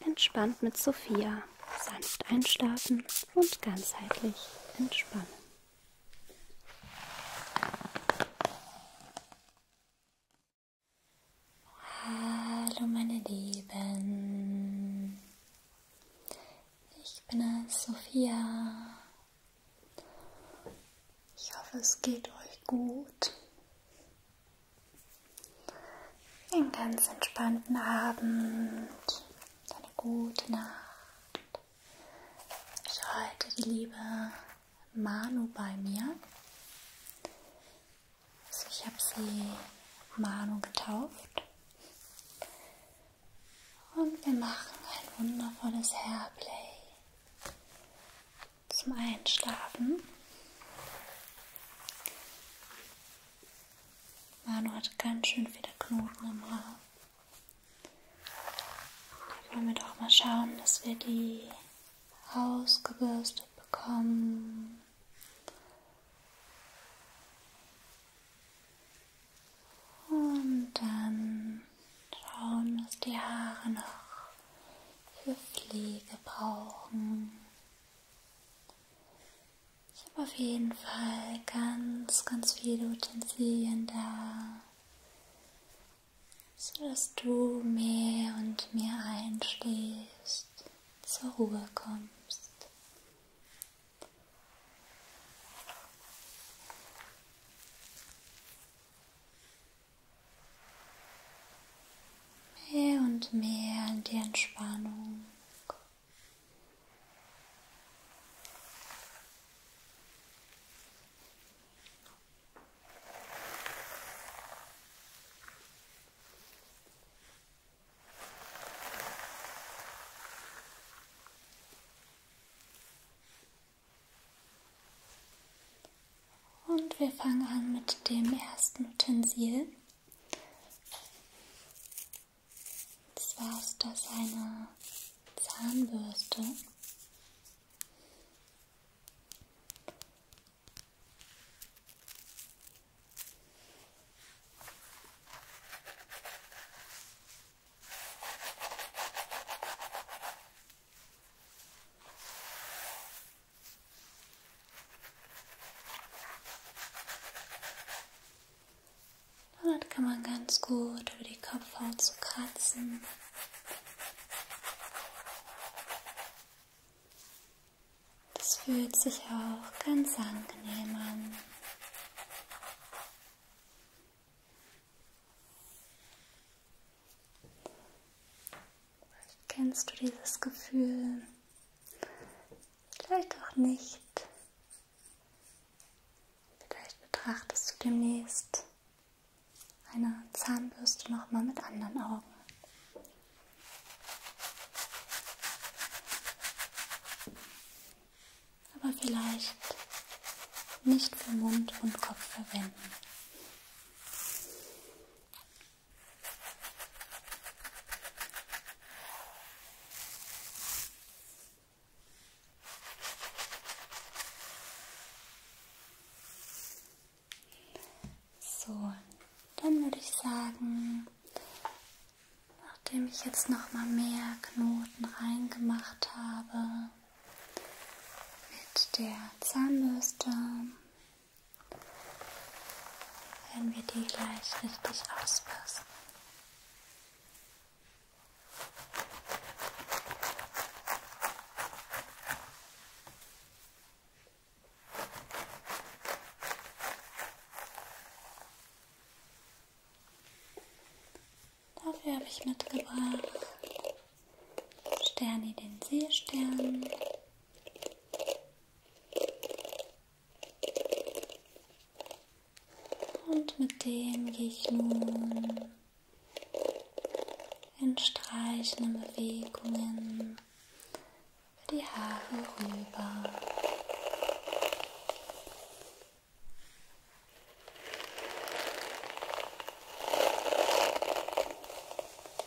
Entspannt mit Sophia. Sanft einschlafen und ganzheitlich entspannen. Hallo meine Lieben. Ich bin es, Sophia. Ich hoffe, es geht euch gut. Einen ganz entspannten Abend, eine gute Nacht. Ich halte die liebe Manu bei mir. Also ich habe sie Manu getauft. Und wir machen ein wundervolles Hairplay zum Einschlafen. Manu hatte ganz schön viele Knoten im Haar. Da wollen wir doch mal schauen, dass wir die ausgebürstet bekommen. Und dann schauen, was die Haare noch für Pflege brauchen. Ich habe auf jeden Fall ganz, ganz viele Utensilien da, sodass du mehr und mehr einschläfst, zur Ruhe kommst. Mehr und mehr in die Entspannung. Und wir fangen an mit dem ersten Utensil. Und zwar ist das eine Zahnbürste. Damit kann man ganz gut über die Kopfhaut zu so kratzen. Das fühlt sich auch ganz angenehm an. Kennst du dieses Gefühl? Vielleicht auch nicht. Vielleicht betrachtest du demnächst eine Zahnbürste nochmal mit anderen Augen. Aber vielleicht nicht für Mund und Kopf verwenden. So, dann würde ich sagen, nachdem ich jetzt noch mal mehr Knoten reingemacht habe mit der Zahnbürste, wenn wir die gleich richtig ausbürsten. Dafür habe ich mitgebracht Sterni den Seestern. Und mit dem gehe ich nun in streichenden Bewegungen über die Haare rüber.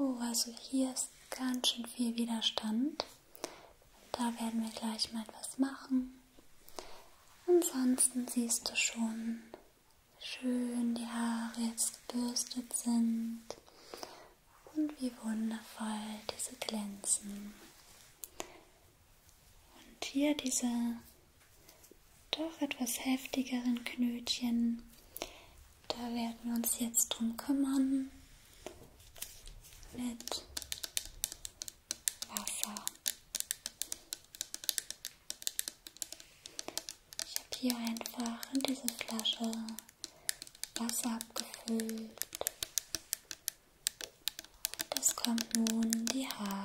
Oh, also hier ist ganz schön viel Widerstand. Da werden wir gleich mal etwas machen. Ansonsten siehst du schon, wie schön die Haare jetzt gebürstet sind und wie wundervoll diese glänzen. Und hier diese doch etwas heftigeren Knötchen. Da werden wir uns jetzt drum kümmern mit Wasser. Ich habe hier einfach in diese Flasche Wasser abgefüllt das kommt nun die Haare.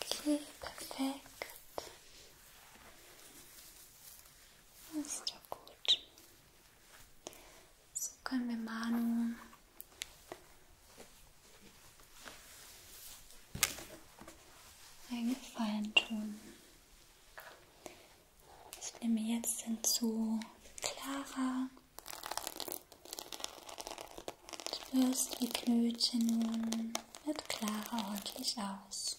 Okay, perfekt. Das ist doch gut. So können wir Manu einen Gefallen tun. Ich nehme jetzt hinzu Clara Du wirst die Knöte nun mit Clara ordentlich aus.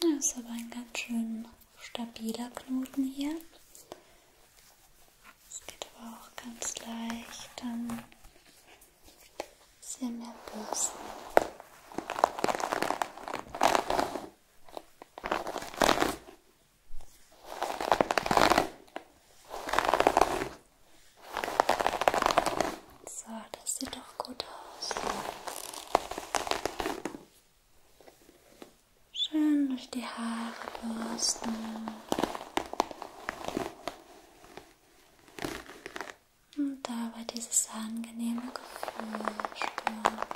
Das ist aber ein ganz schön stabiler Knoten hier. Es geht aber auch ganz leicht an sehr mehr Bürsten. So, das sieht doch gut aus. Schön durch die Haare bürsten. Und dabei dieses angenehme Gefühl spüren.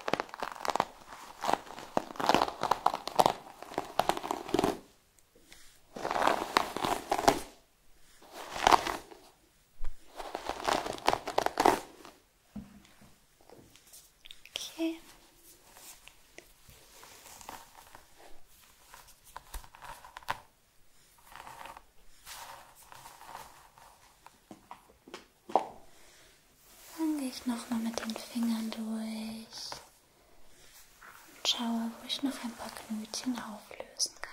Okay. Dann gehe ich nochmal mit den Fingern durch und schaue, wo ich noch ein paar Knötchen auflösen kann.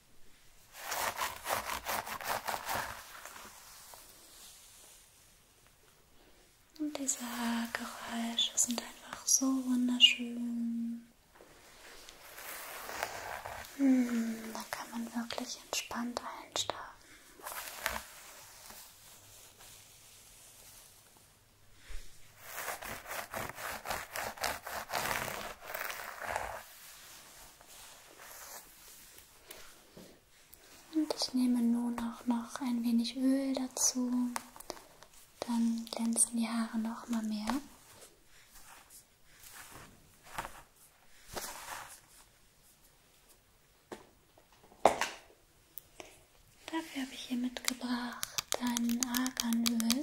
Und diese Geräusche sind einfach so wunderschön. Hm, da kann man wirklich entspannt einschlafen. Und ich nehme nun auch noch ein wenig Öl dazu. Dann glänzen die Haare noch mal mehr. Dafür habe ich hier mitgebracht ein Arganöl.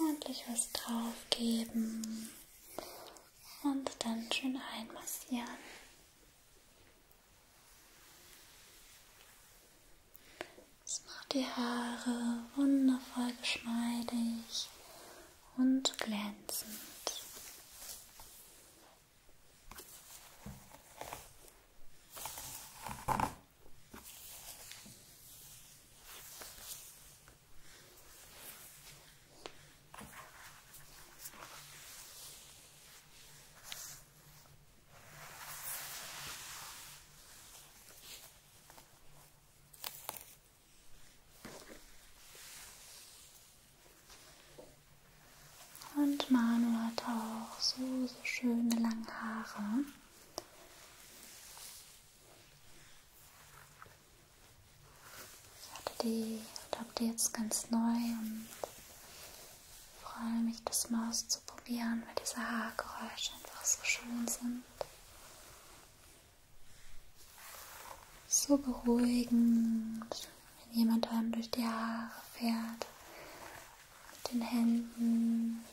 Ordentlich was draufgeben und dann schön einmassieren. Das macht die Haare wundervoll geschmeidig und glänzend. Und Manu hat auch so, so schöne lange Haare. Ich hatte die, ich glaube, die jetzt ganz neu und freue mich, das mal auszuprobieren, weil diese Haargeräusche einfach so schön sind. So beruhigend, wenn jemand einem durch die Haare fährt, mit den Händen,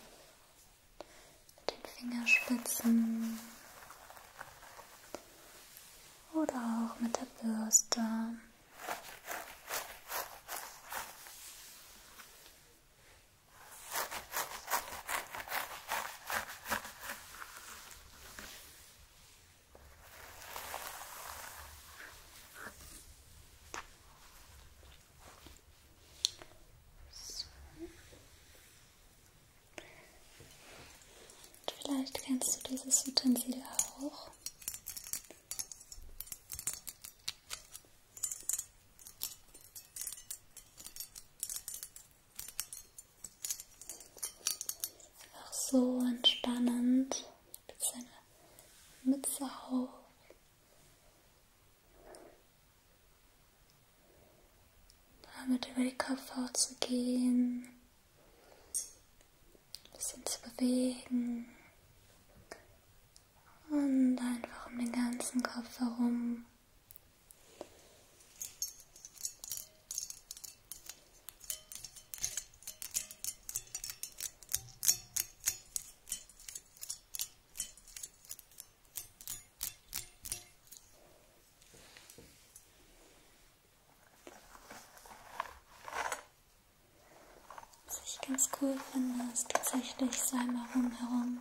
mit den Fingerspitzen oder auch mit der Bürste. So. Vielleicht kennst du dieses Utensil auch. Auch so entspannend. Mit seiner Mütze auf. Damit über die Kopfhaut zu gehen. Ein bisschen zu bewegen. Und einfach um den ganzen Kopf herum. Was ich ganz cool finde, ist tatsächlich Salma rumherum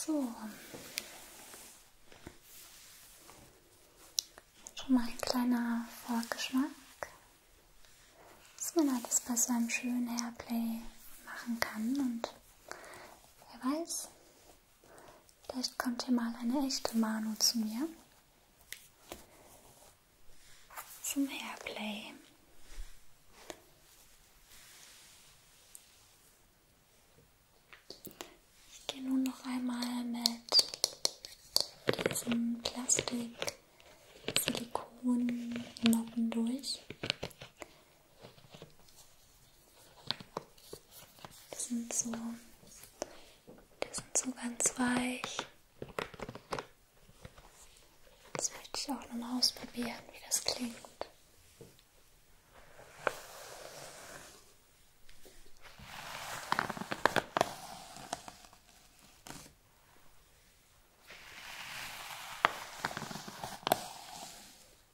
So. Schon mal ein kleiner Vorgeschmack, was man alles bei so einem schönen Hairplay machen kann und Wer weiß, vielleicht kommt hier mal eine echte Manu zu mir. Zum Hairplay. Ich gehe nun noch einmal mit diesem Plastik-Silikon-Noppen durch. Die sind so, die sind so ganz weich. Jetzt möchte ich auch noch mal ausprobieren, wie das klingt.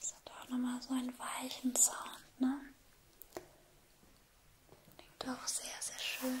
Das hat auch nochmal so einen weichen Sound, ne? Klingt auch sehr, sehr schön.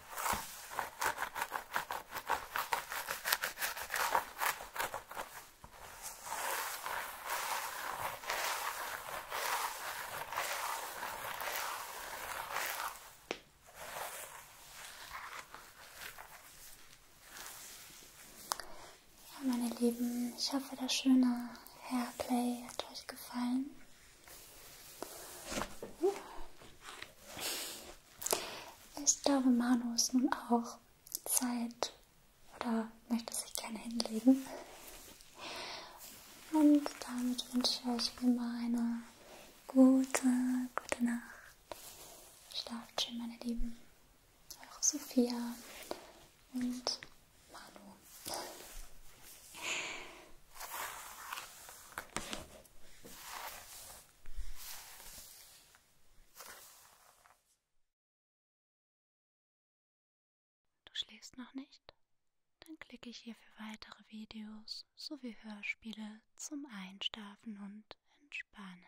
Ja, meine Lieben, ich hoffe, das schöne Hairplay hat euch gefallen. Ich glaube, Manu ist nun auch Zeit oder möchte sich gerne hinlegen. Und damit wünsche ich euch immer eine gute, gute Nacht. Schlaft schön, meine Lieben. Eure Sophia und Manu. Du schläfst noch nicht? Dann klicke ich hier für weitere Videos sowie Hörspiele zum Einschlafen und Entspannen.